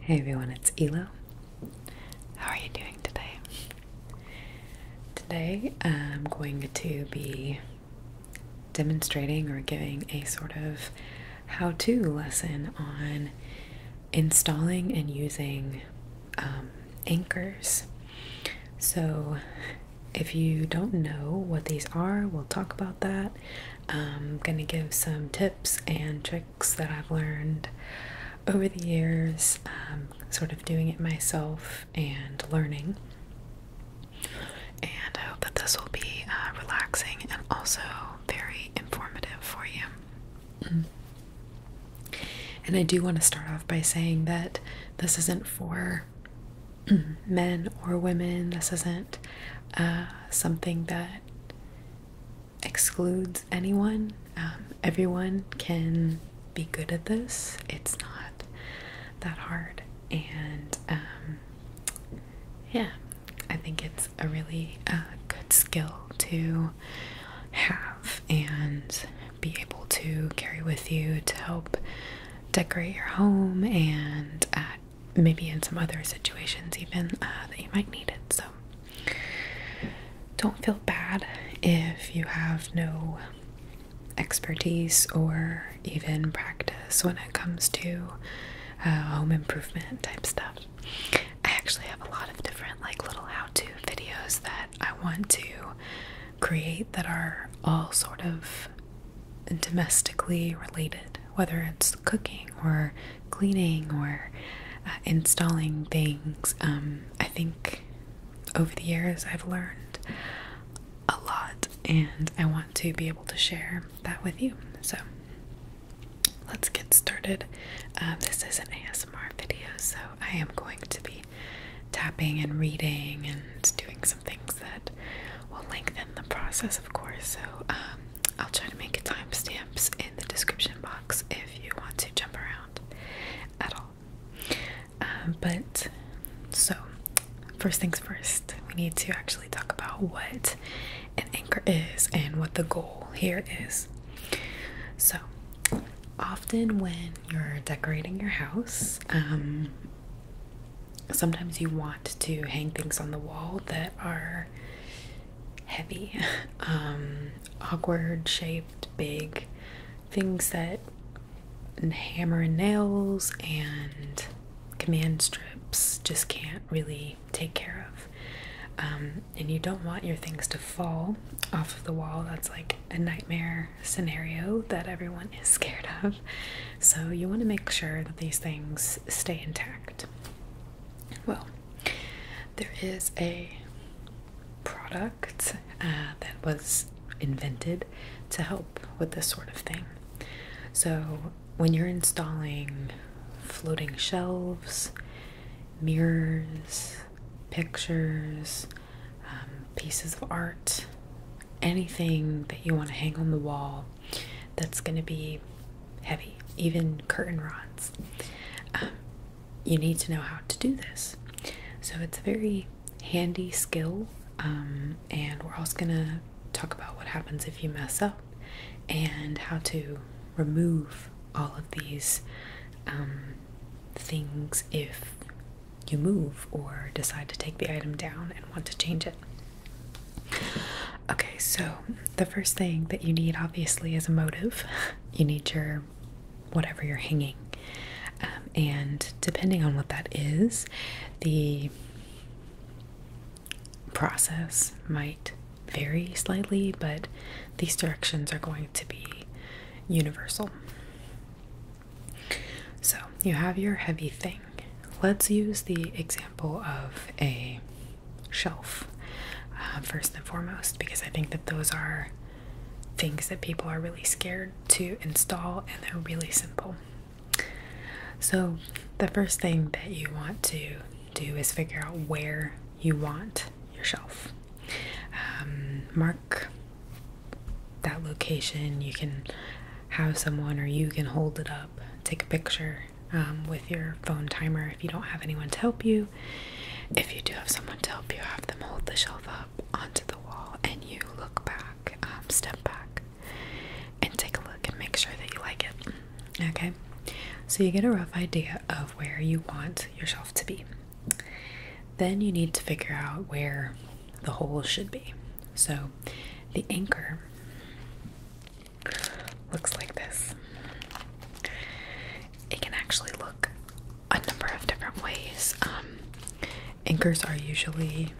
Hey everyone, it's Elo. How are you doing today? Today I'm going to be demonstrating or giving a sort of how to lesson on installing and using um, anchors. So, if you don't know what these are, we'll talk about that. I'm going to give some tips and tricks that I've learned over the years, um, sort of doing it myself and learning. And I hope that this will be uh, relaxing and also very informative for you. And I do want to start off by saying that this isn't for men or women. This isn't uh, something that excludes anyone. Um, everyone can be good at this. It's not that hard. And um, yeah, I think it's a really uh, good skill to have and be able to carry with you to help decorate your home and uh, maybe in some other situations even uh, that you might need it. So don't feel bad if you have no expertise or even practice when it comes to uh, home improvement type stuff. I actually have a lot of different, like, little how to videos that I want to create that are all sort of domestically related, whether it's cooking or cleaning or uh, installing things. Um, I think over the years I've learned a lot, and I want to be able to share that with you. So let's get started. Uh, this is an ASMR video, so I am going to be tapping and reading and doing some things that will lengthen the process, of course. So um, I'll try to make timestamps in the description box if you want to jump around at all. Um, but so, first things first, we need to actually talk about what an anchor is and what the goal here is. So, often when you're decorating your house, um, sometimes you want to hang things on the wall that are heavy, um, awkward shaped, big things that hammer and nails and command strips just can't really take care of. Um, and you don't want your things to fall off the wall. That's like a nightmare scenario that everyone is scared of. So you want to make sure that these things stay intact. Well, there is a product uh, that was invented to help with this sort of thing. So, when you're installing floating shelves, mirrors, pictures, um, pieces of art, anything that you want to hang on the wall that's going to be heavy, even curtain rods. Um, you need to know how to do this. So it's a very handy skill, um, and we're also going to talk about what happens if you mess up and how to remove all of these um, things if you move or decide to take the item down and want to change it. Okay, so the first thing that you need, obviously, is a motive. You need your whatever you're hanging. Um, and depending on what that is, the process might vary slightly, but these directions are going to be universal. So you have your heavy thing. Let's use the example of a shelf um, first and foremost because I think that those are things that people are really scared to install and they're really simple. So, the first thing that you want to do is figure out where you want your shelf. Um, mark that location. You can have someone or you can hold it up, take a picture, um, with your phone timer if you don't have anyone to help you. If you do have someone to help you, have them hold the shelf up onto the wall and you look back, um, step back, and take a look and make sure that you like it. Okay, so you get a rough idea of where you want your shelf to be. Then you need to figure out where the hole should be. So the anchor looks like this. It can actually look a number of different ways. Um, anchors are usually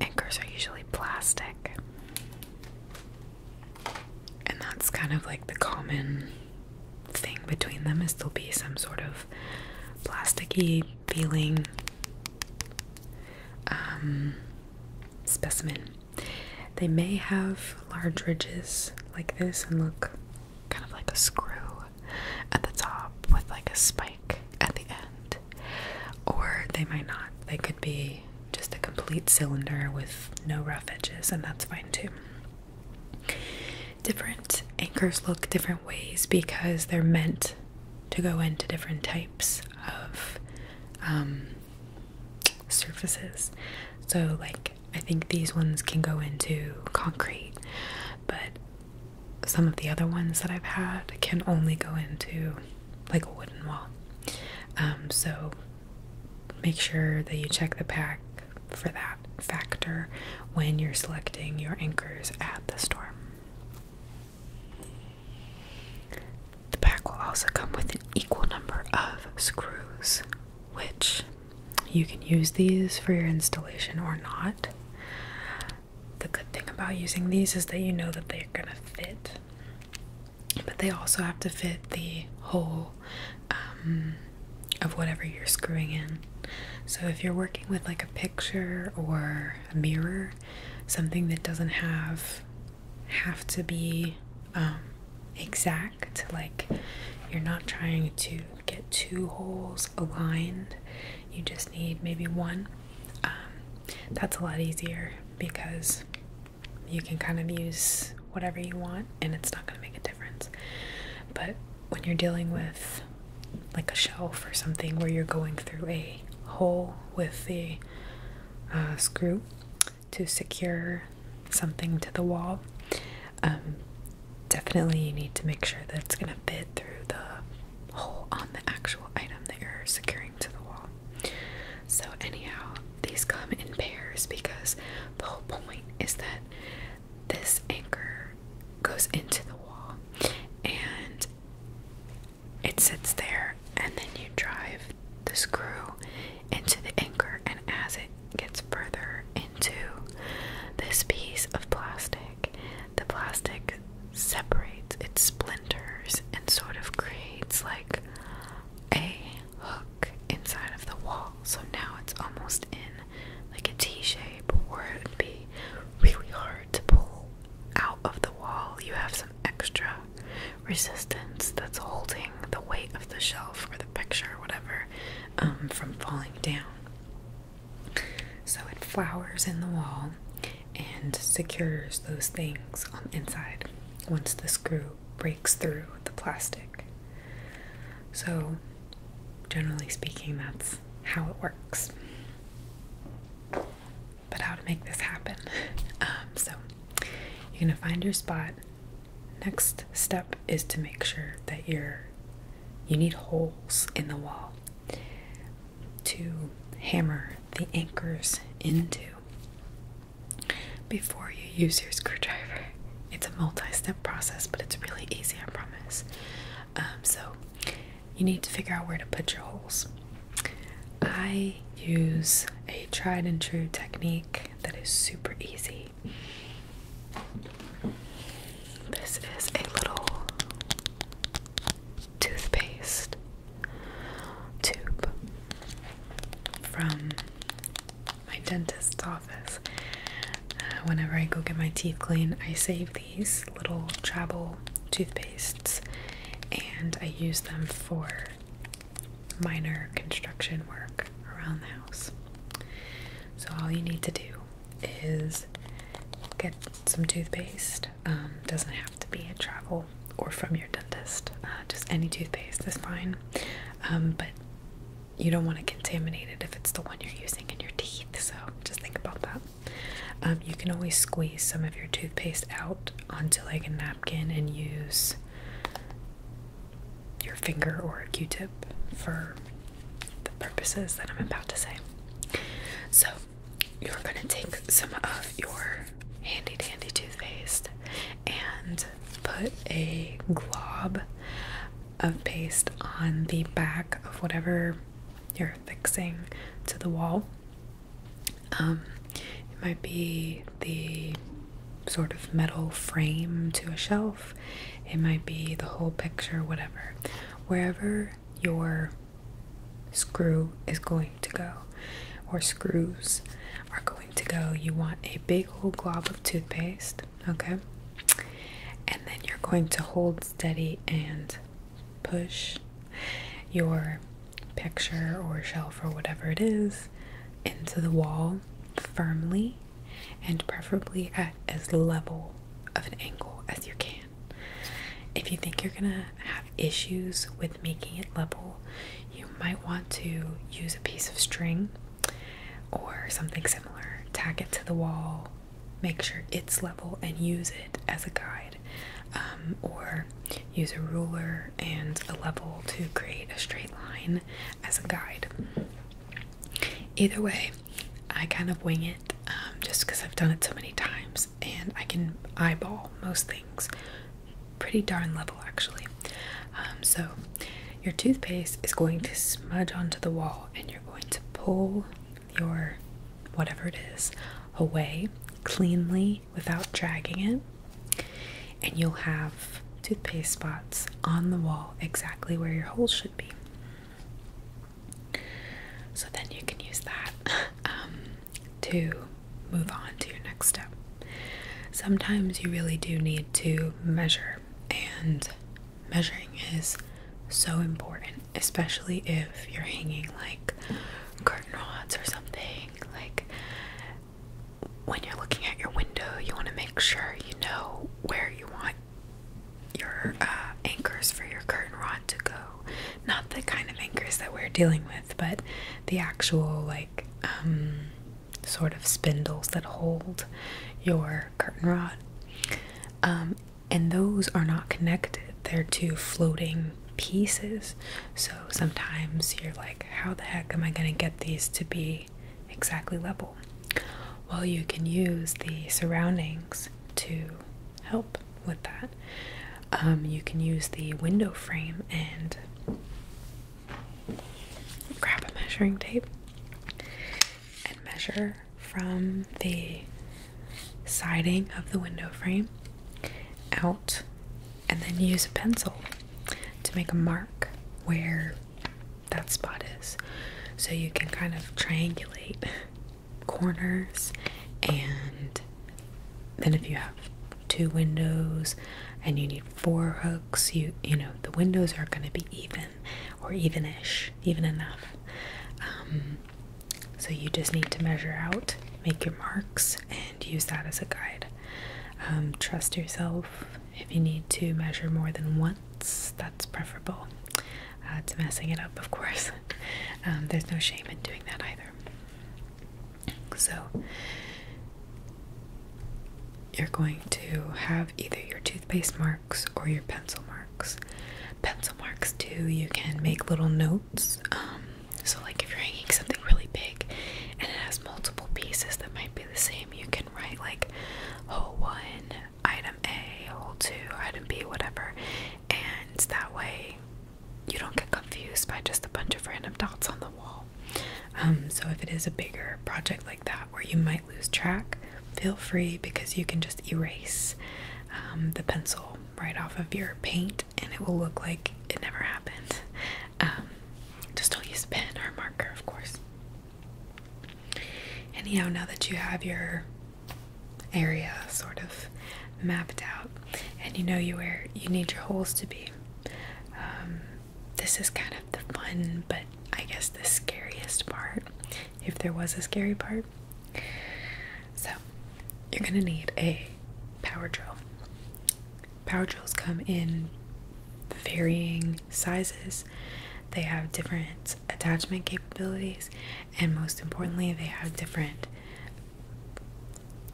anchors are usually plastic, and that's kind of like the common thing between them is there'll be some sort of plasticky feeling um, specimen. They may have large ridges like this and look kind of like a screw at the top with like a spike at the end. Or they might not. They could be just a complete cylinder with no rough edges, and that's fine too. Different anchors look different ways because they're meant to go into different types of um, surfaces. So, like, I think these ones can go into concrete, but some of the other ones that I've had can only go into like a wooden wall. Um, so, make sure that you check the pack for that factor when you're selecting your anchors at the store. The pack will also come with an equal number of screws, which you can use these for your installation or not. The good thing about using these is that you know that they're going to fit, but they also have to fit the hole um, of whatever you're screwing in. So if you're working with like a picture or a mirror, something that doesn't have have to be um, exact. Like, you're not trying to get two holes aligned, you just need maybe one. Um, that's a lot easier because you can kind of use whatever you want and it's not going to make a difference. But when you're dealing with like a shelf or something where you're going through a hole with the uh, screw, to secure something to the wall, um, definitely you need to make sure that it's going to fit through the hole on the actual item that you're securing to the wall. So, anyhow, these come in pairs because the whole point is that this anchor goes into the wall and it sits there, and then you drive the screw into the anchor, and as it gets further into this piece of plastic, the plastic separates, it splinters, and sort of creates like a hook inside of the wall. So now it's almost in like a T shape, or it would be really hard to pull out of the wall. You have some extra resistance that's holding the weight of the shelf or the picture or whatever um, from falling down. So it flowers in the wall and secures those things on the inside once the screw breaks through the plastic. So, generally speaking, that's how it works but how to make this happen. Um, so you're gonna find your spot. Next step is to make sure that you you need holes in the wall to hammer the anchors into before you use your screwdriver. It's a multi-step process, but it's really easy, I promise. Um, so you need to figure out where to put your holes. I use a tried and true technique that is super easy. This is a little toothpaste tube from my dentist's office. Uh, whenever I go get my teeth cleaned, I save these little travel toothpastes and I use them for minor construction work around the house. So, all you need to do is get some toothpaste. Um, doesn't have to be a travel or from your dentist, uh, just any toothpaste is fine. Um, but you don't want to contaminate it if it's the one you're using in your teeth, so just think about that. Um, you can always squeeze some of your toothpaste out onto like a napkin and use your finger or a q-tip for the purposes that I'm about to say. So, you're going to take some of your handy dandy toothpaste and put a glob of paste on the back of whatever you're fixing to the wall. Um, it might be the sort of metal frame to a shelf, it might be the whole picture, whatever. Wherever your screw is going to go, or screws are going to go, you want a big old glob of toothpaste, okay? And then you're going to hold steady and push your picture or shelf or whatever it is into the wall firmly and preferably at as level of an angle as you can. If you think you're gonna have issues with making it level, you might want to use a piece of string or something similar, tack it to the wall, make sure it's level, and use it as a guide. Um, or Use a ruler and a level to create a straight line as a guide. Either way, I kind of wing it um, just because I've done it so many times and I can eyeball most things pretty darn level actually. Um, so, your toothpaste is going to smudge onto the wall and you're going to pull your whatever it is away cleanly without dragging it, and you'll have toothpaste spots on the wall exactly where your hole should be. So then you can use that um, to move on to your next step. Sometimes you really do need to measure, and measuring is so important, especially if you're hanging like curtain rods or something. Like when you're looking at your window, you want to make sure you know where you want your uh, anchors for your curtain rod to go. Not the kind of anchors that we're dealing with, but the actual, like, um, sort of spindles that hold your curtain rod. Um, and those are not connected, they're two floating pieces. So sometimes you're like, how the heck am I going to get these to be exactly level? Well, you can use the surroundings to help with that. Um, you can use the window frame and grab a measuring tape and measure from the siding of the window frame out and then use a pencil to make a mark where that spot is so you can kind of triangulate corners and then if you have two windows and you need four hooks you you know the windows are going to be even or evenish, even enough um, so you just need to measure out make your marks and use that as a guide. Um, trust yourself. If you need to measure more than once, that's preferable uh, to messing it up, of course. Um, there's no shame in doing that either. So, you're going to have either your toothpaste marks or your pencil marks. Pencil marks, too, you can make little notes. Um, so, like if you're hanging something really big and it has multiple pieces that might be the same, you can write like hole one, item A, hole two, item B, whatever, and that way you don't get confused by just a bunch of random dots on the wall. Um, so, if it is a bigger project like that where you might lose track, feel free because you can just erase um, the pencil right off of your paint and it will look like it never happened just um, don't use a pen or marker, of course. Anyhow, now that you have your area sort of mapped out and you know where you need your holes to be, um, this is kind of the fun, but I guess the scariest part, if there was a scary part. So, you're gonna need a power drill power drills come in varying sizes they have different attachment capabilities and most importantly they have different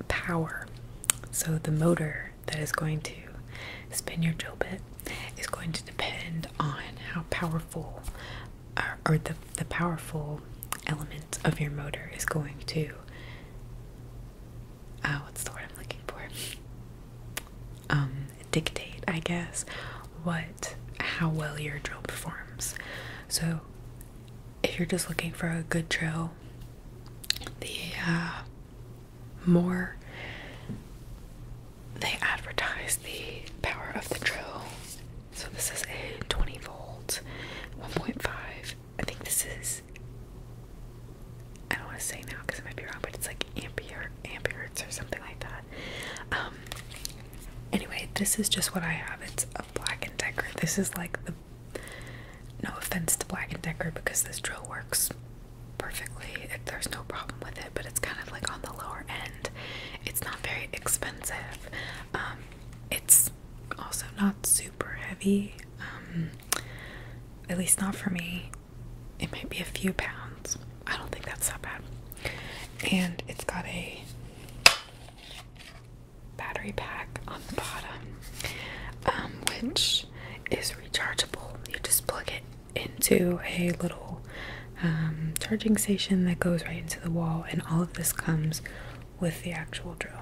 power so the motor that is going to spin your drill bit is going to depend on how powerful uh, or, the, the powerful element of your motor is going to uh, oh, what's the word I'm looking for? Um, dictate, I guess, what how well your drill performs. So, if you're just looking for a good drill, the uh, more they advertise the power of the drill. So this is a 20 volt, 1.5 I think this is. I don't want to say now because it might be wrong, but it's like ampere, amperes or something like that. Um, anyway, this is just what I have. It's a Black and Decker. This is like the. No offense to Black and Decker because this drill works perfectly. there's no problem with it, but it's kind of like on the lower end. It's not very expensive. Um, it's also not super heavy. Um, at least not for me. It might be a few pounds. I don't think that's that bad. And it's got a battery pack on the bottom, um, which is rechargeable. You just plug it into a little um, charging station that goes right into the wall, and all of this comes with the actual drill.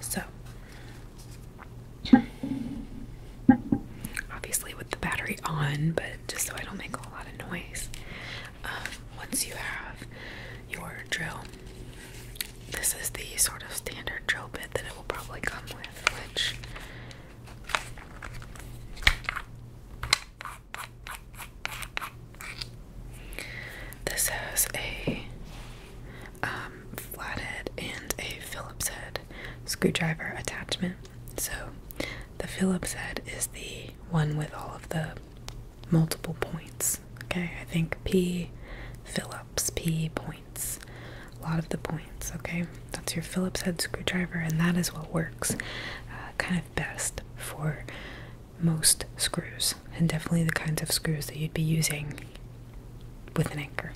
So, obviously, with the battery on, but just so I don't make a lot of noise, um, once you have your drill, this is the sort of standard drill bit that it will probably come with, which this has a um, flathead, and a Phillips head screwdriver attachment. So the Phillips head is the one with all of the multiple points. Okay, I think P Phillips, P points. A lot of the points, okay? That's your Phillips head screwdriver, and that is what works uh, kind of best for most screws, and definitely the kinds of screws that you'd be using with an anchor.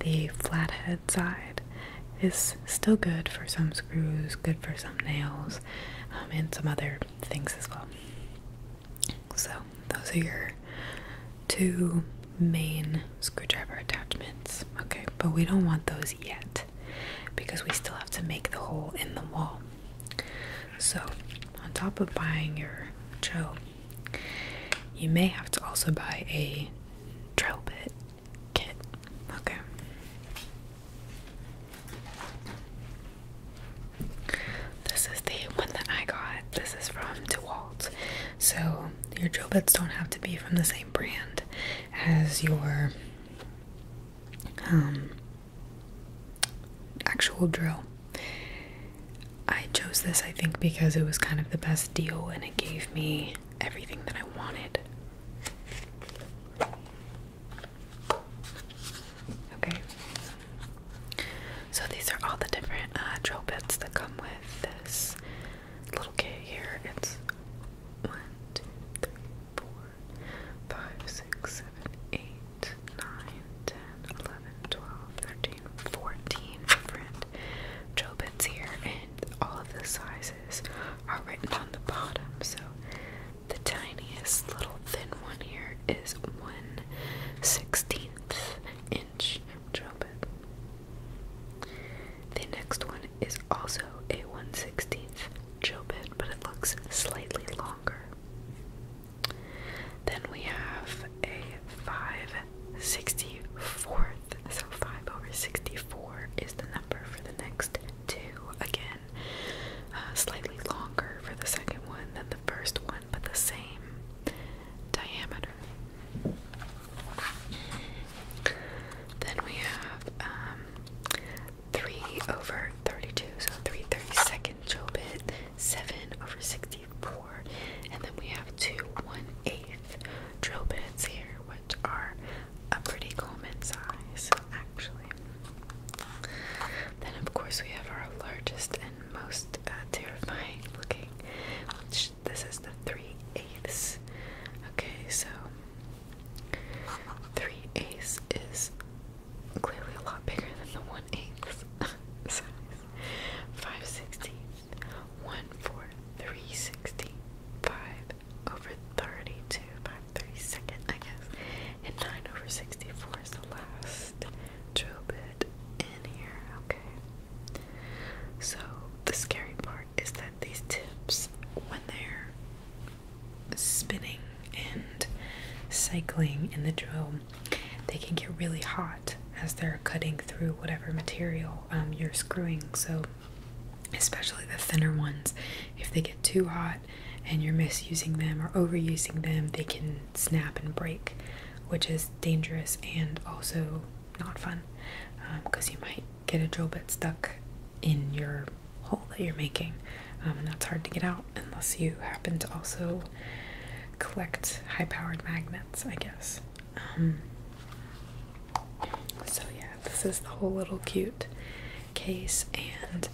The flathead side is still good for some screws, good for some nails, um, and some other things as well. So, those are your two main screwdriver attachments. Okay, but we don't want those yet because we still have to make the hole in the wall. So, on top of buying your Joe you may have to also buy a drill bit kit. Okay. This is the one that I got. This is from DeWalt. So your drill bits don't have to be from the same brand as your um, actual drill. I chose this, I think, because it was kind of the best deal and it gave me everything that I wanted. Okay. So these are all the different uh, drill bits that come with this little kit here. It's one, two, three, four, five, six, seven, eight, nine, ten, eleven, twelve, thirteen, fourteen and Jobin's here, and all of the sizes are written on the bottom. So the tiniest little thin one here is one sixteenth inch Jobin. The next one is also a one sixteenth Jobin, but it looks slightly longer. Then we have a five 64th. So 5 over 64 is the number for the next two. Again, uh, slightly longer for the second one than the first one, but the same diameter. Then we have um, 3 over 32, so 3 32nd Jobit, 7 over 64. 4 and then we have two 1 8 drill bits here which are a pretty common size actually then of course we have our largest and most uh, terrifying looking which this is the 3 eighths okay so 3 eighths is clearly a lot bigger than the 1 eighth size 516 one fourth, three sixty five over thirty two by three second, I guess. And nine over sixty four is the last drill bit in here. Okay. So the scary part is that these tips, when they're spinning and cycling in the drill, they can get really hot as they're cutting through whatever material um, you're screwing. So, especially the thinner ones, if they get too hot and you're misusing them or overusing them, they can snap and break, which is dangerous and also not fun because um, you might get a drill bit stuck in your hole that you're making. Um, and that's hard to get out unless you happen to also collect high powered magnets, I guess. Um, so yeah, this is the whole little cute case, and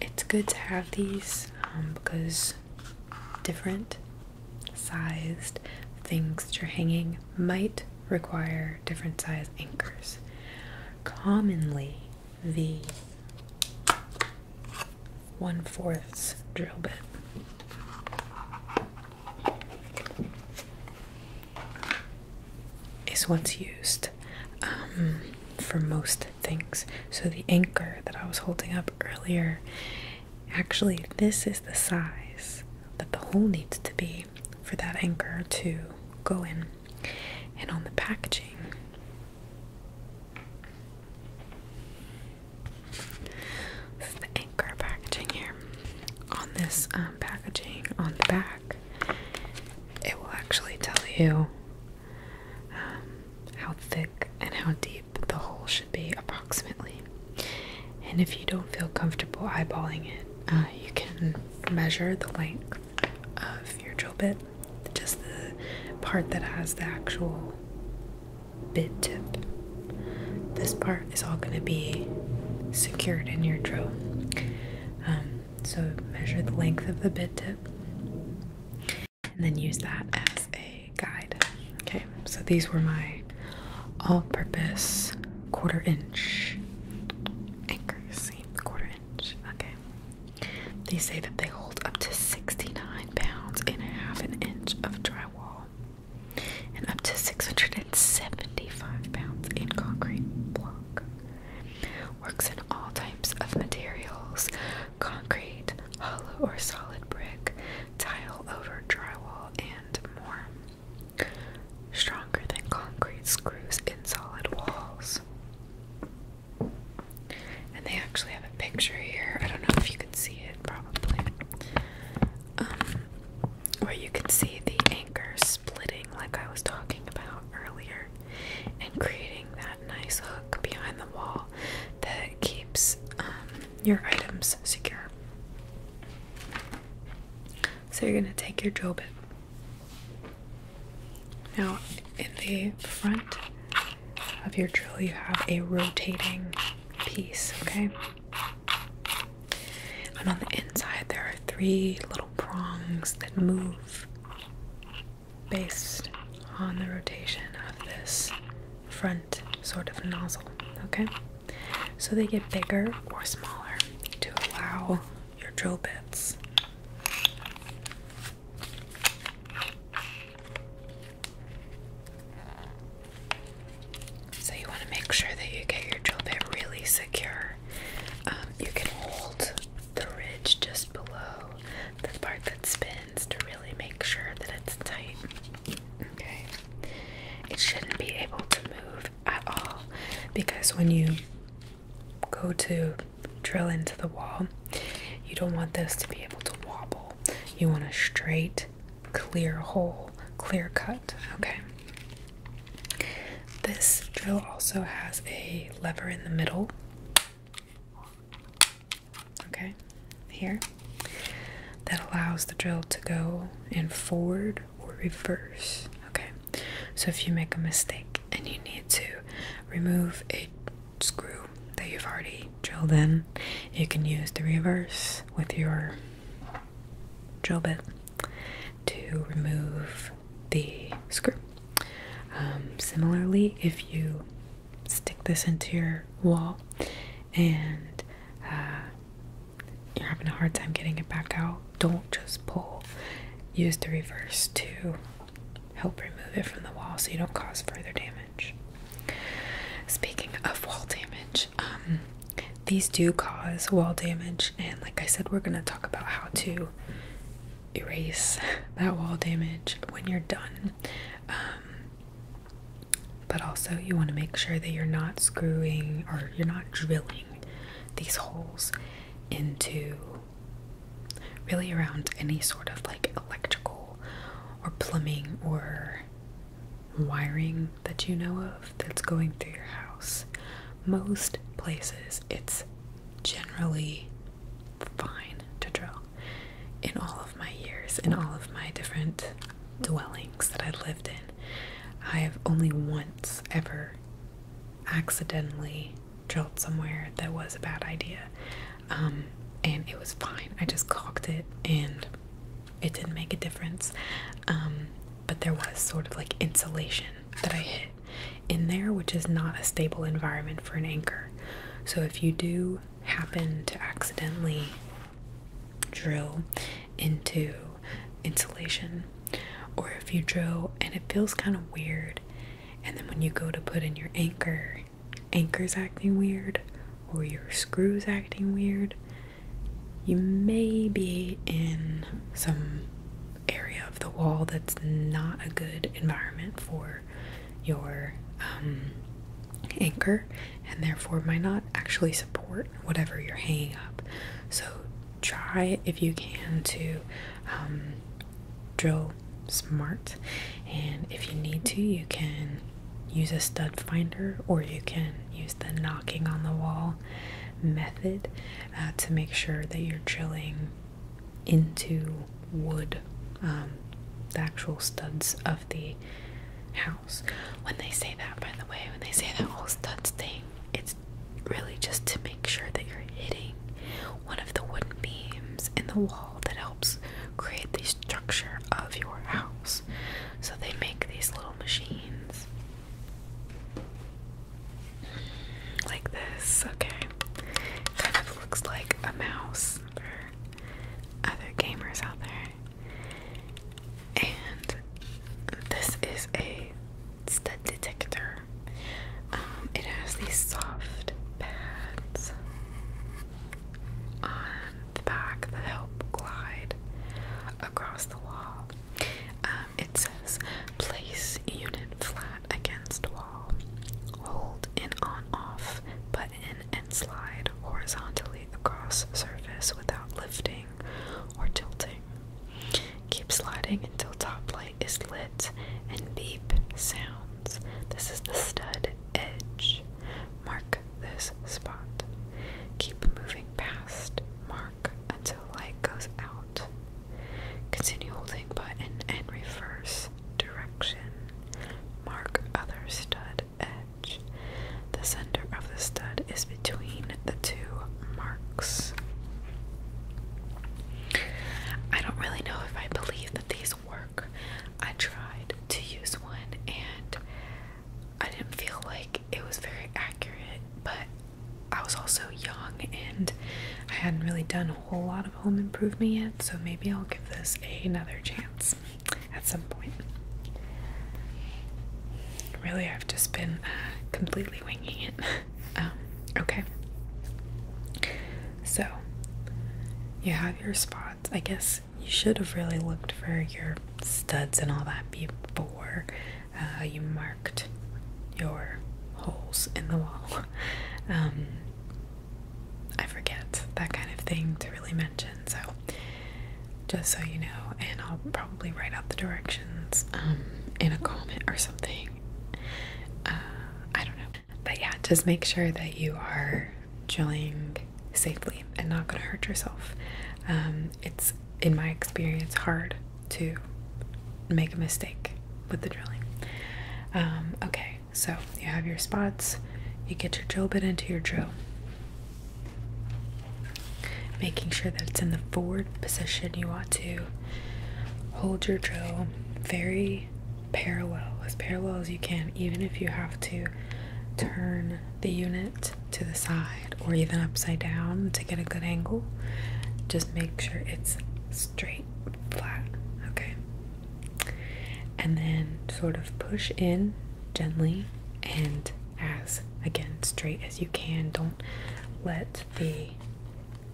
it's good to have these um, because different sized things that you're hanging might require different size anchors. Commonly, the one fourths drill bit. Is what's used um, for most things. So the anchor that I was holding up earlier, actually, this is the size that the hole needs to be for that anchor to go in. And on the packaging, this is the anchor packaging here. On this um, packaging on the back, it will actually tell you um, how thick and how deep the hole should be, approximately. And if you don't feel comfortable eyeballing it, uh, you can measure the length of your drill bit, just the part that has the actual bit tip. This part is all going to be secured in your drill. Um, so measure the length of the bit tip and then use that as a guide. Okay, so these were my all purpose quarter inch anchors. Quarter inch. Okay. They say that they hold up to 69 pounds and a half an inch of drywall and up to 675 pounds in concrete block. Works in all types of materials concrete, hollow or solid brick, tile over drywall, and more. Stronger than concrete screws in solid walls. And they actually have a picture here. I don't know if you can see it probably. Um, where you can see the anchor splitting, like I was talking about earlier, and creating that nice hook behind the wall that keeps um, your items secure. So you're going to take your drill bit. Now, in the front of your drill, you have a rotating piece, okay? And on the inside, there are three little prongs that move based on the rotation of this front sort of nozzle, okay? So they get bigger or smaller to allow your drill bits so you want to make sure that you get your drill bit really secure. Um, you can hold the ridge just below the part that spins to really make sure that it's tight. Okay. It shouldn't be able to move at all because when you go to drill into the wall, you don't want this to be able to wobble. You want a straight clear hole, clear cut. Okay. This drill also has a lever in the middle. Okay, here. That allows the drill to go in forward or reverse. Okay, so if you make a mistake and you need to remove a screw that you've already drill then you can use the reverse with your drill bit to remove the screw um, similarly if you stick this into your wall and uh, you're having a hard time getting it back out don't just pull use the reverse to help remove it from the wall so you don't cause further damage Speaking of wall damage, um, these do cause wall damage, and like I said, we're gonna talk about how to erase that wall damage when you're done. Um, but also, you want to make sure that you're not screwing or you're not drilling these holes into really around any sort of like electrical or plumbing or wiring that you know of that's going through your house. Most places, it's generally fine to drill. In all of my years, in all of my different dwellings that I've lived in, I have only once ever accidentally drilled somewhere that was a bad idea. Um, and it was fine. I just cocked it and it didn't make a difference. Um, but there was sort of like insulation that I hit in there, which is not a stable environment for an anchor. So if you do happen to accidentally drill into insulation, or if you drill and it feels kind of weird, and then when you go to put in your anchor, anchor's acting weird, or your screws acting weird, you may be in some area of the wall that's not a good environment for your um, anchor and therefore might not actually support whatever you're hanging up. So try if you can to um, drill smart and if you need to you can use a stud finder or you can use the knocking on the wall method uh, to make sure that you're drilling into wood, um, the actual studs of the house. When they say that, by the way, when they say that whole studs thing, it's really just to make sure that you're hitting one of the wooden beams in the wall that helps create the structure of your house. So they make these little machines. Like this, okay. Kind of looks like a mouse for other gamers out there. And this is a stud detector. Um, it has these soft pads on back the help glide across the wall. Um, it says place unit flat against wall. Hold in on off Put in and slide horizontally across surface without lifting or tilting. Keep sliding until top light is lit and beep sounds. This is the stud edge. Mark this spot. Keep moving past mark until light goes out. Continue holding button and reverse direction. Mark other stud edge. The center of the stud is between the two marks. I don't really know if I believe that these work. I tried to use one and I didn't feel like it was very accurate, but I was also young and I hadn't really done a whole lot of home improvement yet, so maybe I'll give this another chance at some point. Really, I've just been uh, completely winging it. Um, okay. So, you have your spots. I guess you should have really looked for your studs and all that before uh, you marked your holes in the wall. Um, I forget that kind of thing to really mention, so just so you know, and I'll probably write out the directions um, in a comment or something. Uh, I don't know. But yeah, just make sure that you are drilling safely and not going to hurt yourself. Um, it's, in my experience, hard to make a mistake with the drilling. Um, okay, so you have your spots, you get your drill bit into your drill, making sure that it's in the forward position you want to. Hold your drill very parallel, as parallel as you can, even if you have to turn the unit to the side or even upside down to get a good angle. Just make sure it's straight, flat, okay? And then sort of push in gently and as again straight as you can. Don't let the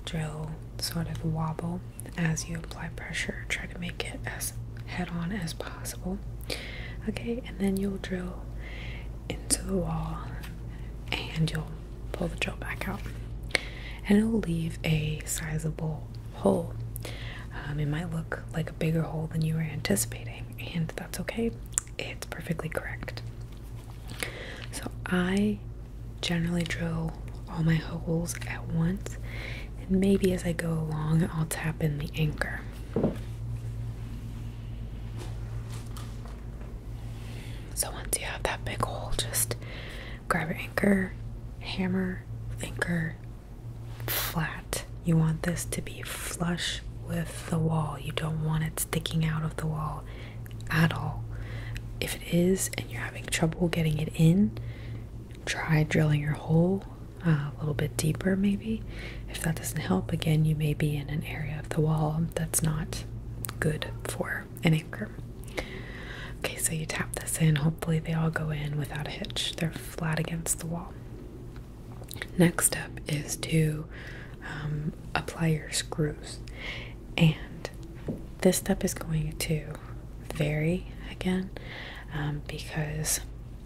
drill sort of wobble as you apply pressure. Try to make it as head on as possible. Okay, and then you'll drill into the wall and you'll pull the drill back out. And it'll leave a sizable hole. Um, it might look like a bigger hole than you were anticipating, and that's okay. It's perfectly correct. So I generally drill all my holes at once, and maybe as I go along, I'll tap in the anchor. So once you have that big hole, just grab your anchor, hammer, anchor flat. You want this to be flush with the wall. You don't want it sticking out of the wall at all. If it is and you're having trouble getting it in, try drilling your hole a little bit deeper, maybe. If that doesn't help, again, you may be in an area of the wall that's not good for an anchor. Okay, so you tap this in. Hopefully, they all go in without a hitch. They're flat against the wall. Next step is to um, apply your screws. And this step is going to vary again um, because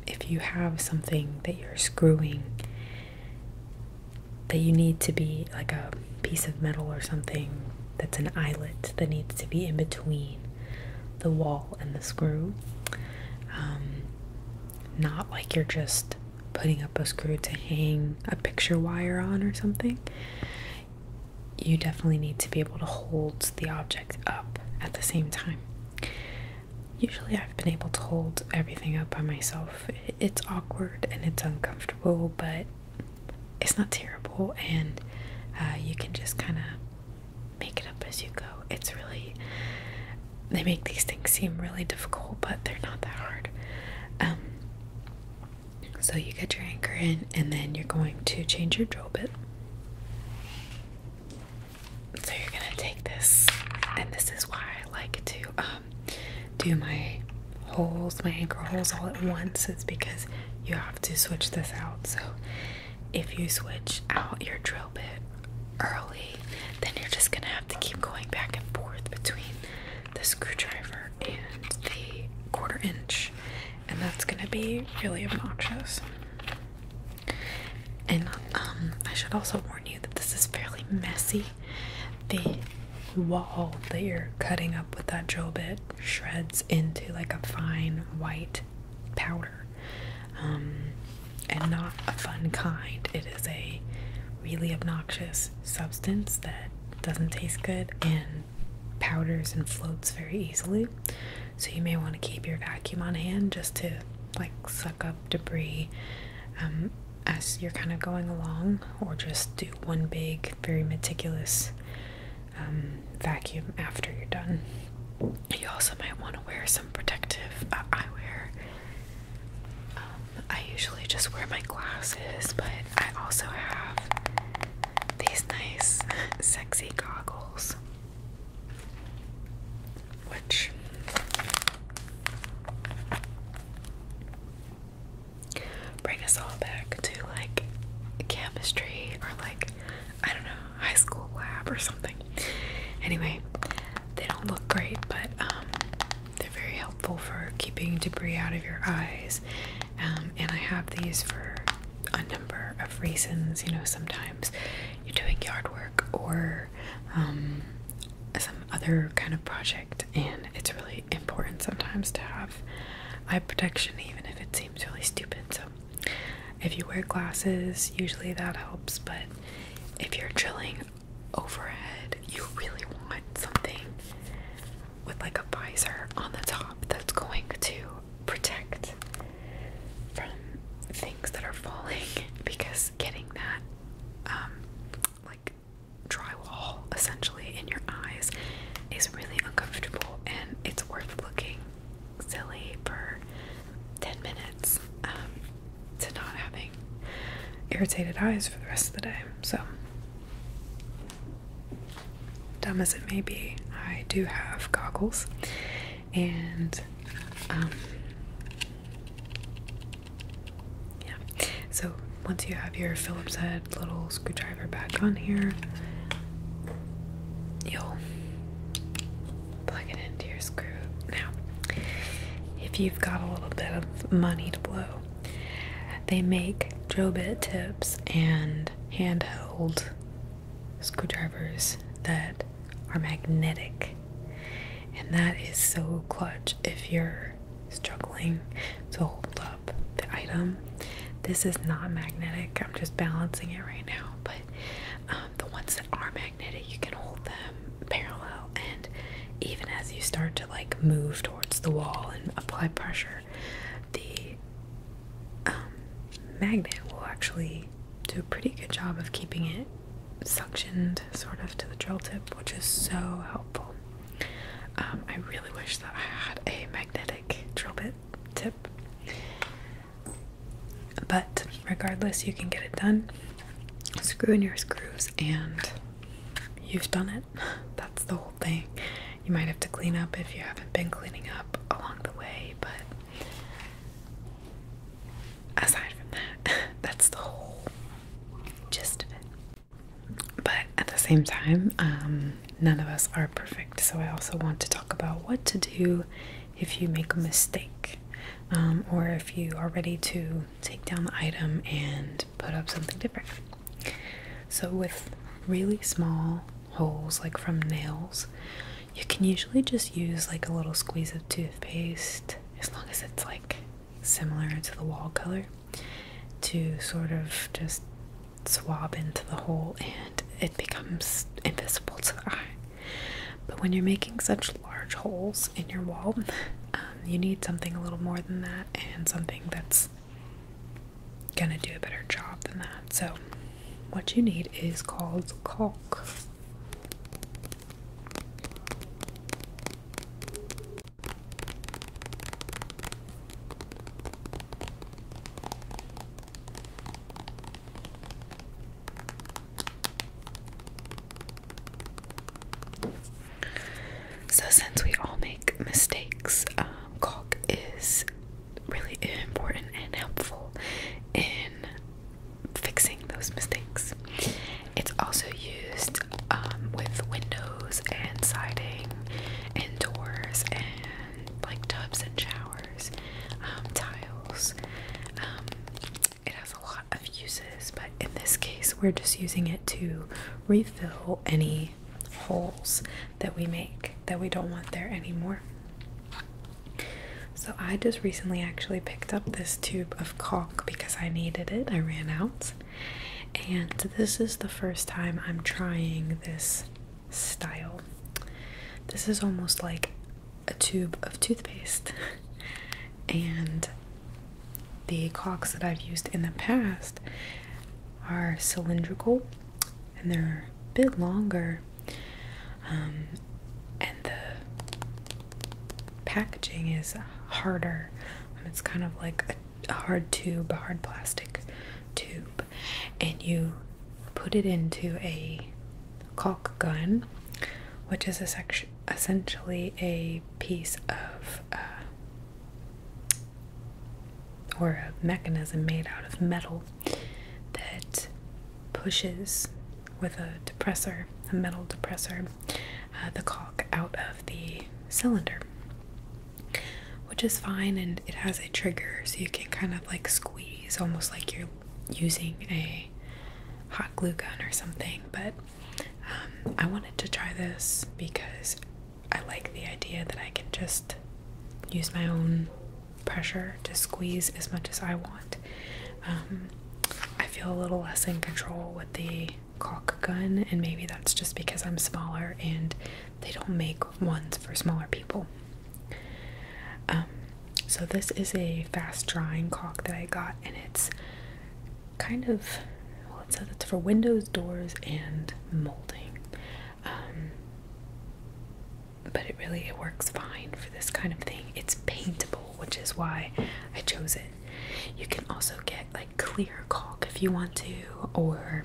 if you have something that you're screwing that you need to be like a piece of metal or something that's an eyelet that needs to be in between the wall and the screw um, not like you're just putting up a screw to hang a picture wire on or something you definitely need to be able to hold the object up at the same time Usually, I've been able to hold everything up by myself. It's awkward and it's uncomfortable, but it's not terrible, and uh, you can just kind of make it up as you go. It's really, they make these things seem really difficult, but they're not that hard. Um, so, you get your anchor in, and then you're going to change your drill bit. So you're gonna take this, and this is why I like to um, do my holes, my anchor holes all at once. It's because you have to switch this out. So if you switch out your drill bit early, then you're just gonna have to keep going back and forth between the screwdriver and the quarter inch, and that's gonna be really obnoxious. And um, I should also warn you that this is fairly messy. The wall that you're cutting up with that drill bit shreds into like a fine white powder. Um, and not a fun kind. It is a really obnoxious substance that doesn't taste good and powders and floats very easily. So you may want to keep your vacuum on hand just to like suck up debris um, as you're kind of going along, or just do one big, very meticulous um, vacuum after you're done. You also might want to wear some protective uh, eyewear. Um, I usually just wear my glasses, but I also have these nice, sexy goggles which bring us all back to like chemistry or like I don't know high school lab or something. Anyway, they don't look great, but um, they're very helpful for keeping debris out of your eyes. Um, and I have these for a number of reasons. You know, sometimes you're doing yard work or um, some other kind of project, and it's really important sometimes to have eye protection, even if it seems really stupid. So, if you wear glasses, usually that helps, but if you're drilling overhead, you really want something with like a visor on the top that's going to protect from things that are falling because getting that um, like drywall essentially in your eyes is really uncomfortable and it's worth looking silly for 10 minutes um, to not having irritated eyes for the rest of the day. So, dumb as it may be, I do have goggles and um, yeah. So once you have your Phillips head little screwdriver back on here, you'll plug it into your screw. Now, if you've got a little bit of money to blow, they make drill bit tips and handheld screwdrivers that are magnetic. And that is so clutch if you're struggling to hold up the item. This is not magnetic, I'm just balancing it right now. But um, the ones that are magnetic, you can hold them parallel, and even as you start to like move towards the wall and apply pressure, the um, magnet will actually do a pretty good job of keeping it suctioned sort of to the drill tip, which is so helpful. Um, I really wish that I had a magnetic drill bit tip, but regardless, you can get it done. Screw in your screws, and you've done it. That's the whole thing. You might have to clean up if you haven't been cleaning up along the way, but aside from that, that's the whole gist of it. But at the same time, um, none of us are perfect. So I also want to talk about what to do if you make a mistake. Um, or if you are ready to take down the item and put up something different. So, with really small holes, like from nails, you can usually just use like a little squeeze of toothpaste as long as it's like similar to the wall color, to sort of just swab into the hole and it becomes invisible to the eye. But when you're making such large holes in your wall, um, you need something a little more than that and something that's gonna do a better job than that. So, what you need is called caulk. So, since we all make mistakes, um, is really important and helpful in fixing those mistakes. It's also used um, with windows and siding and doors and like tubs and showers, um, tiles. Um, it has a lot of uses, but in this case, we're just using it to refill any holes that we make that we don't want there anymore. So, I just recently actually picked up this tube of caulk because I needed it. I ran out. And this is the first time I'm trying this style. This is almost like a tube of toothpaste. and the caulks that I've used in the past are cylindrical and they're a bit longer. Um, and the packaging is harder. Um, it's kind of like a, hard tube, a hard plastic tube, and you put it into a caulk gun, which is essentially a piece of uh, or a mechanism made out of metal that pushes with a depressor, a metal depressor, uh, the caulk out of the cylinder, which is fine. And it has a trigger, so you can kind of like squeeze, almost like you're using a hot glue gun or something. But um, I wanted to try this because I like the idea that I can just use my own pressure to squeeze as much as I want. Um, I feel a little less in control with the cock gun, and maybe that's just because I'm smaller and they don't make ones for smaller people. Um, so, this is a fast drying caulk that I got, and it's kind of well, it says it's for windows, doors, and molding. Um, but it really it works fine for this kind of thing. It's paintable, which is why I chose it. You can also get like clear caulk if you want to, or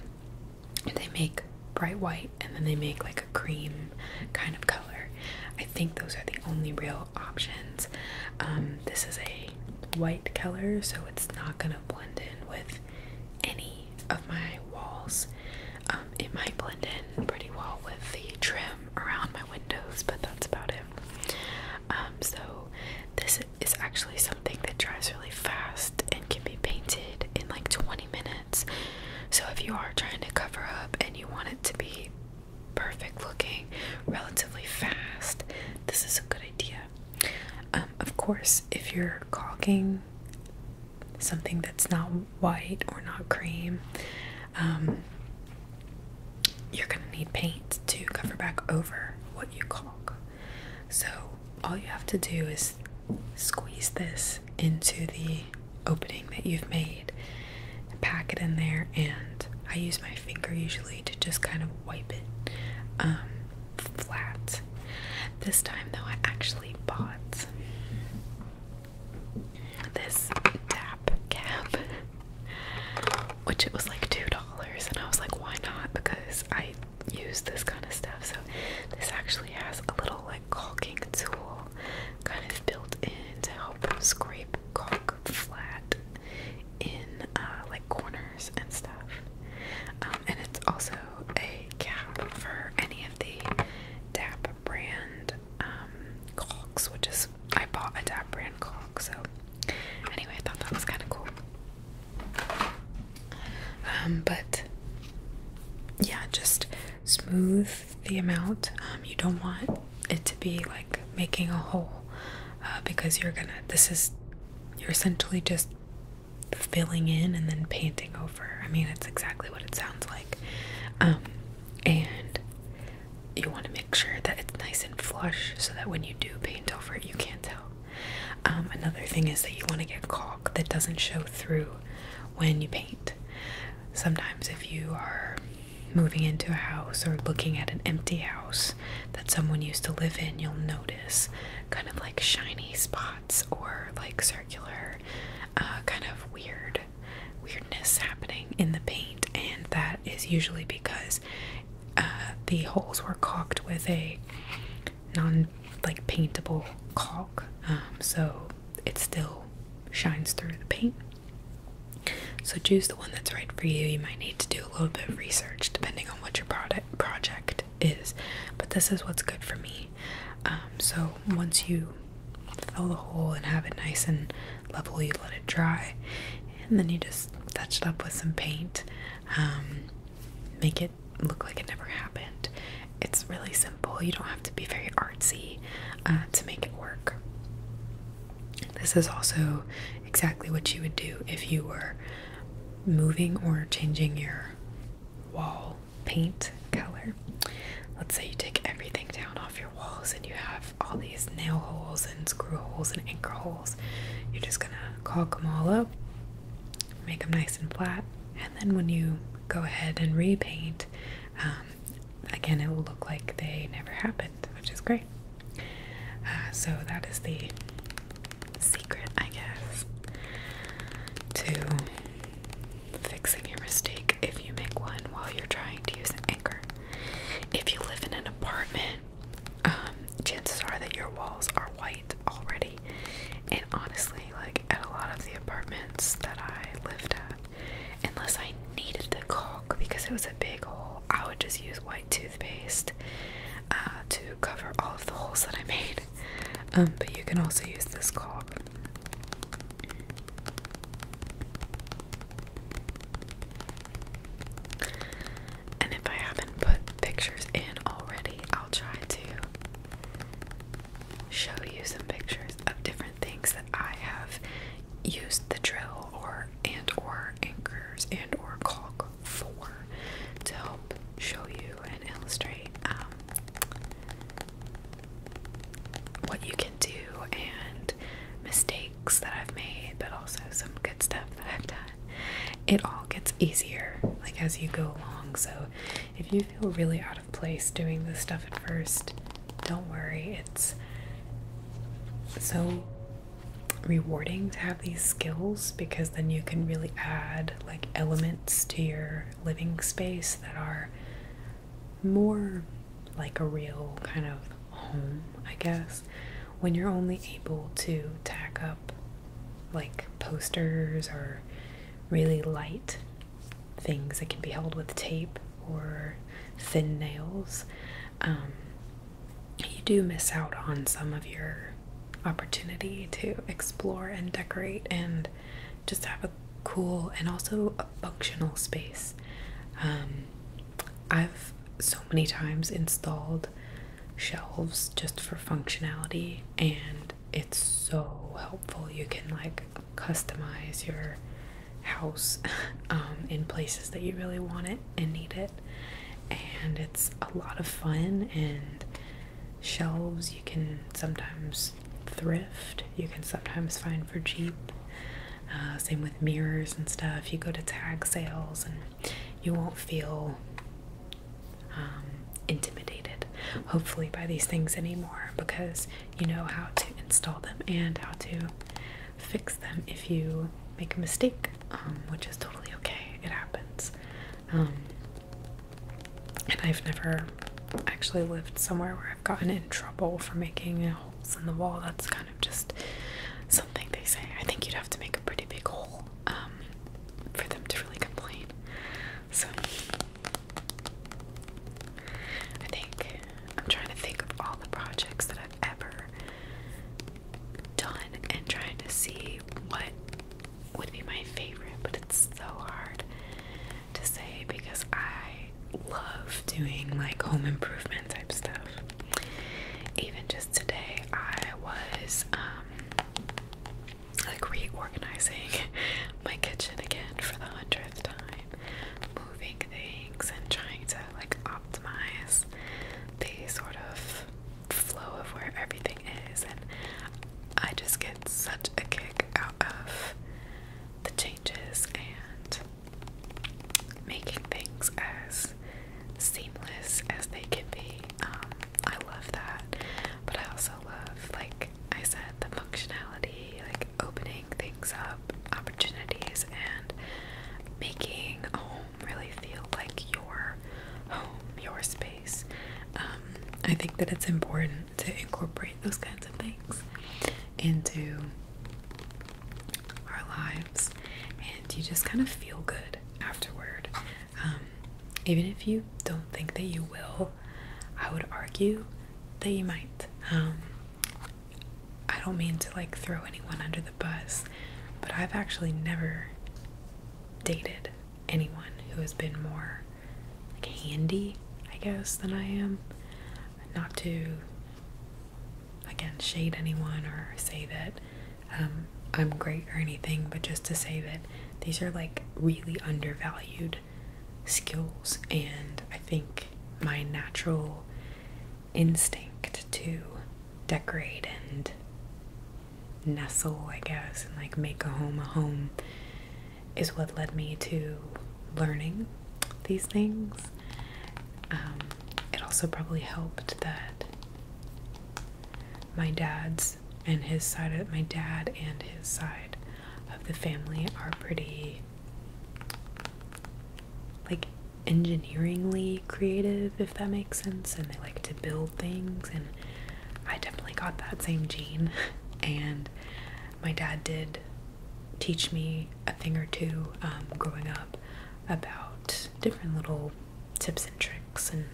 they make bright white and then they make like a cream kind of color. I think those are the only real options. Um, this is a white color, so it's not gonna blend in with any of my walls. Um, it might blend in pretty well with the trim around my windows, but that's about it. Um, so this is actually something that dries really fast and can be painted in like 20 minutes. So if you are trying to cover up and you want it to be perfect looking relatively fast, this is a good idea. Um, of course, if you're caulking something that's not white or not cream, um, you're going to need paint to cover back over what you caulk. So all you have to do is squeeze this into the opening that you've made, pack it in there, and I use my finger usually to just kind of wipe it um, flat. This time, though, I actually bought this tap cap. which it was like two dollars and I was like why not because I use this kind of stuff so this actually has a little like caulking tool kind of built in to help scrape caulk flat in uh, like corners and stuff um, and it's also a cap for any of the DAP brand um, which is I bought a Dab brand clock. So, anyway, I thought that was kind of cool. Um, but yeah, just smooth the amount. Um, you don't want it to be like making a hole uh, because you're gonna, this is, you're essentially just filling in and then painting over. I mean, it's exactly what it sounds like. Um, and you want to make sure that it's nice and flush so that when you do paint over it, you can't tell. Um, another thing is that you want to get caulk that doesn't show through when you paint. Sometimes, if you are moving into a house or looking at an empty house that someone used to live in, you'll notice kind of like shiny spots or like circular, uh, kind of weird weirdness happening in the paint, and that is usually because uh, the holes were caulked with a non like paintable caulk, um, so it still shines through the paint. So choose the one that's right for you. You might need to do a little bit of research depending on what your product project is, but this is what's good for me. Um, so once you fill the hole and have it nice and level, you let it dry, and then you just touch it up with some paint, um, make it look like it never happened. It's really simple. You don't have to be very artsy uh, to make it work. This is also exactly what you would do if you were moving or changing your wall paint color. Let's say you take everything down off your walls and you have all these nail holes and screw holes and anchor holes, you're just gonna caulk them all up, make them nice and flat, and then when you go ahead and repaint, um, again, it will look like they never happened, which is great. Uh, so, that is the secret, I guess, to fixing your mistake if you make one while you're trying to use an anchor. If you live in an apartment um, chances are that your walls are white already. And honestly, like at a lot of the apartments that I lived at, unless I needed the caulk because it was a big hole, I would just use white toothpaste uh, to cover all of the holes that I made. Um, but you can also use this caulk. And if I haven't put pictures in already, I'll try to show you some pictures of different things that I have used the drill or and or anchors and or caulk for to help show you and illustrate um, what you can do and mistakes that I've made, but also some good stuff that I've done. It all gets easier like as you go along. So if you feel really out of place doing this stuff at first, don't worry. It's so rewarding to have these skills because then you can really add like elements to your living space that are more like a real kind of home, I guess when you're only able to tack up like posters or really light things that can be held with tape or thin nails, um, you do miss out on some of your opportunity to explore and decorate and just have a cool and also a functional space. Um, I've so many times installed shelves just for functionality and it's so helpful. You can like customize your house um, in places that you really want it and need it, and it's a lot of fun. And shelves you can sometimes thrift, you can sometimes find for cheap. Uh, same with mirrors and stuff. You go to tag sales and you won't feel um, intimidated, hopefully, by these things anymore because you know how to install them and how to fix them if you make a mistake, um, which is totally okay. It happens. Um, and I've never actually lived somewhere where I've gotten in trouble for making holes in the wall. That's kind of just something they say. I think you'd have to make a pretty big hole um, for them to really complain. So I think I'm trying to think of all the projects that I've ever done and trying to see what would be my favorite, but it's so hard to say because I love doing like home improvement type stuff. Even just today, I was um, like reorganizing my kitchen again for the hundredth time, moving things and trying to like optimize the sort of flow of where everything is. And I just get such a kick out of the changes and making things as seamless as they can be. Um, I love that, but I also love, like I said, the functionality, like opening things up, opportunities, and making home really feel like your home, your space. Um, I think that it's important to incorporate those kinds of things into our lives, and you just kind of feel good afterward. Um, even if you don't think that you will, I would argue that you might. Um, I don't mean to like throw anyone under the bus, but I've actually never dated anyone who has been more like handy, I guess, than I am. Not to again shade anyone or say that um, I'm great or anything, but just to say that these are like really undervalued skills, and I think my natural instinct to decorate and nestle, I guess, and like make a home a home is what led me to learning these things. Um, it also probably helped that my dad's and his side of my dad and his side of the family are pretty like engineeringly creative if that makes sense and they like to build things and I definitely got that same gene and my dad did teach me a thing or two um, growing up about different little tips and tricks and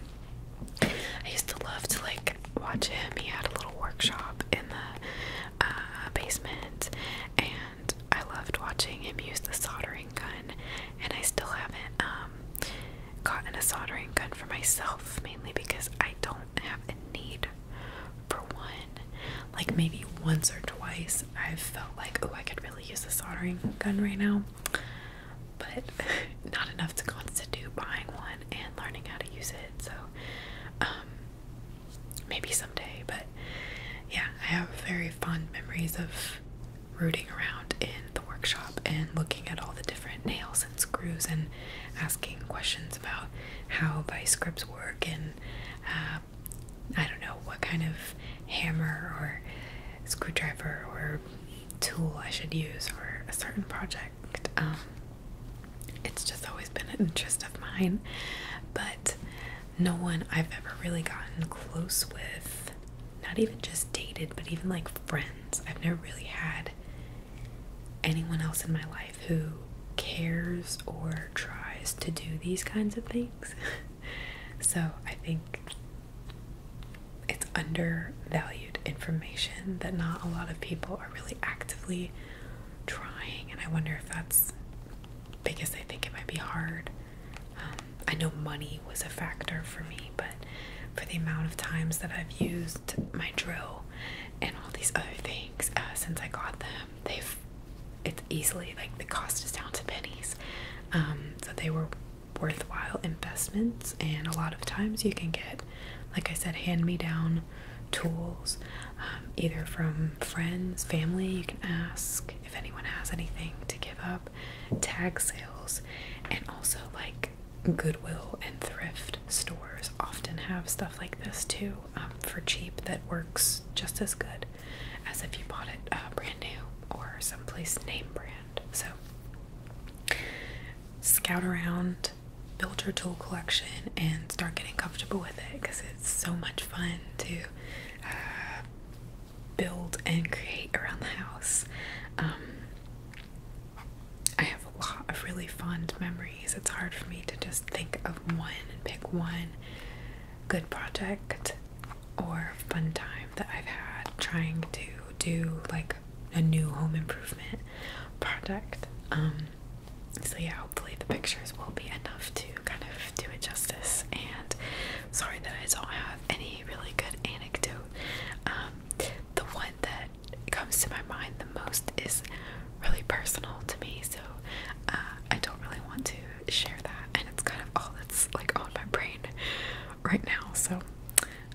I used to love to like watch him. He had a little workshop in the uh, basement and I loved watching him use the soldering gun and I still haven't um gotten a soldering gun for myself mainly because I don't have a need for one. Like maybe once or twice I've felt like oh I could really use a soldering gun right now but not enough to constitute buying one and learning how to use it. So, um, maybe someday, but yeah, I have very fond memories of rooting around in the workshop and looking at all the different nails and screws and asking questions about how vice grips work and uh, I don't know what kind of hammer or screwdriver or tool I should use for a certain project. Um, it's just always been an interest of mine, but no one I've ever really gotten close with, not even just dated, but even like friends. I've never really had anyone else in my life who cares or tries to do these kinds of things. so I think it's undervalued information that not a lot of people are really actively trying, and I wonder if that's because they think it might be hard. Um, I know money was a factor for me, but for the amount of times that I've used my drill and all these other things uh, since I got them, they've it's easily like the cost is down to pennies. Um, so they were worthwhile investments and a lot of times you can get like i said hand-me-down tools um, either from friends family you can ask if anyone has anything to give up tag sales and also like goodwill and thrift stores often have stuff like this too um, for cheap that works just as good as if you bought it uh, brand new or someplace name brand. So, scout around, build your tool collection, and start getting comfortable with it because it's so much fun to uh, build and create around the house. Um, I have a lot of really fond memories. It's hard for me to just think of one and pick one good project or fun time that I've had trying to do like a new home improvement project. Um, so yeah, hopefully the pictures will be enough to kind of do it justice. And sorry that I don't have any really good anecdote. Um, the one that comes to my mind the most is really personal to me, so uh, I don't really want to share that, and it's kind of all that's like on my brain right now. So,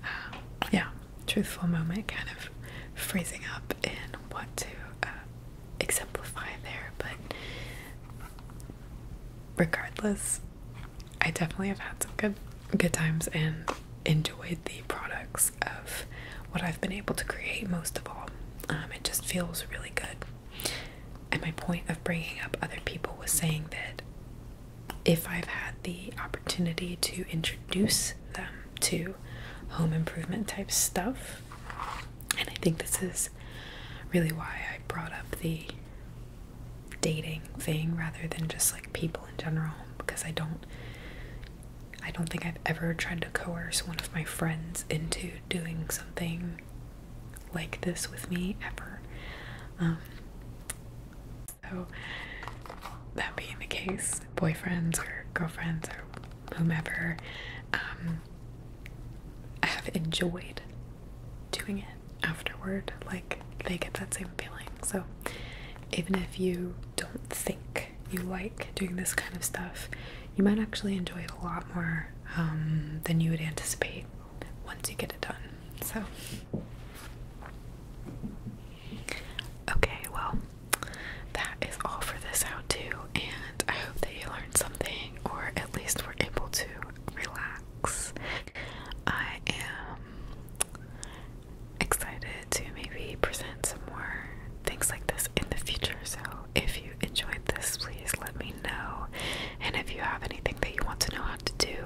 um, yeah, truthful moment, kind of freezing up and what to uh, exemplify there, but regardless, I definitely have had some good good times and enjoyed the products of what I've been able to create most of all. Um, it just feels really good. And my point of bringing up other people was saying that if I've had the opportunity to introduce them to home improvement type stuff, and I think this is really why I brought up the dating thing rather than just like people in general because I don't I don't think I've ever tried to coerce one of my friends into doing something like this with me ever. Um, so, that being the case, boyfriends or girlfriends or whomever um, I have enjoyed doing it afterward. Like, they get that same feeling. So, even if you don't think you like doing this kind of stuff, you might actually enjoy it a lot more um, than you would anticipate once you get it done. So, okay, well, that is all for this how to, and I hope that you learned something or at least were able to relax. I am excited to maybe present some more things like this in the future. So, if you enjoyed this, please let me know. And if you have anything that you want to know how to do,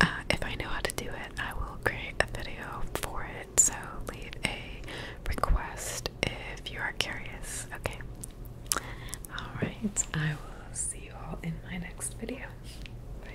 uh, if I know how to do it, I will create a video for it. So leave a request if you are curious. Okay. All right. I will see you all in my next video. Bye.